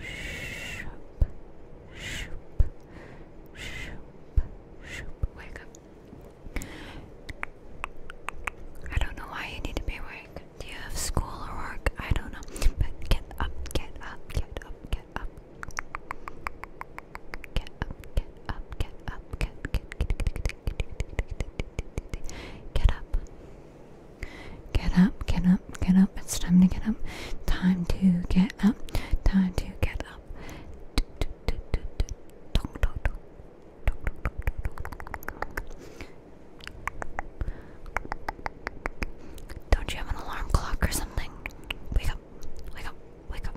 Shoop, shoop, shoop, shoop. Wake up. I don't know why you need to be awake. Do you have school or work? I don't know. But get up, get up, get up, get up. Get up, get up, get up, get up, get get get get get get get get up. Get up, get up, get up, it's time to get up, time to get up, time to get up. Don't you have an alarm clock or something? Wake up, wake up, wake up.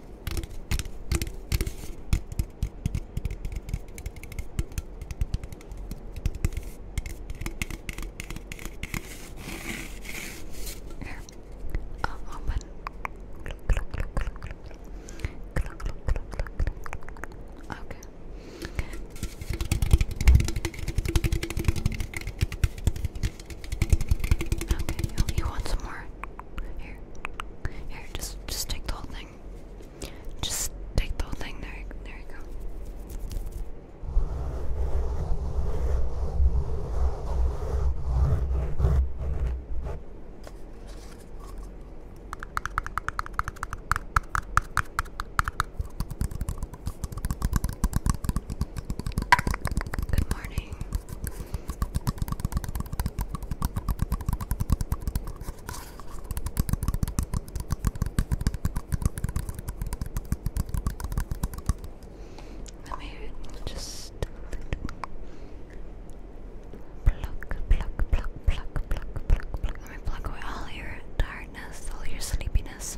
Here, I'll open. Okay. Okay, you, want some more? Here, here, just, just take the whole thing. Just take the whole thing. There, there you go. Good morning. Let me just pluck, pluck, pluck, pluck, pluck, pluck, pluck. Let me pluck away all your tiredness, all your sleepiness.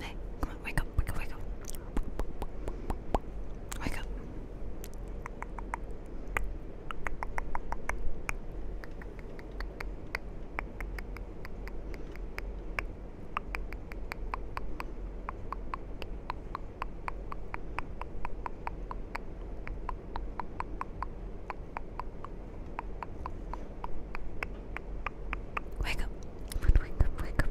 Hey, come on, wake up, wake up, wake up. Wake up. Wake up, wake up, wake up.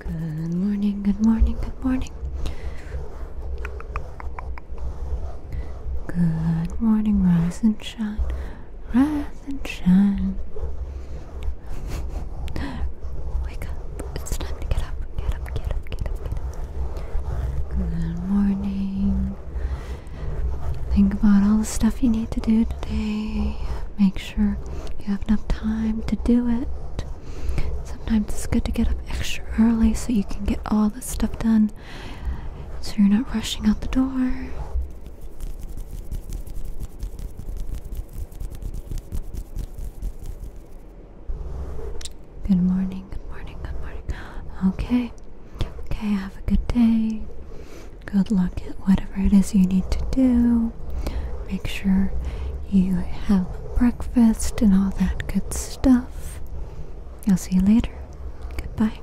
Come on. Good morning, good morning, good morning. Good morning, rise and shine rise and shine. Wake up. It's time to get up. Get up, get up, get up, get up. Good morning. Think about all the stuff you need to do today. Make sure you have enough time to do it. Sometimes it's good to get up extra early so you can get all this stuff done so you're not rushing out the door. Good morning, good morning, good morning. Okay, okay, have a good day. Good luck at whatever it is you need to do. Make sure you have breakfast and all that good stuff. I'll see you later. Goodbye.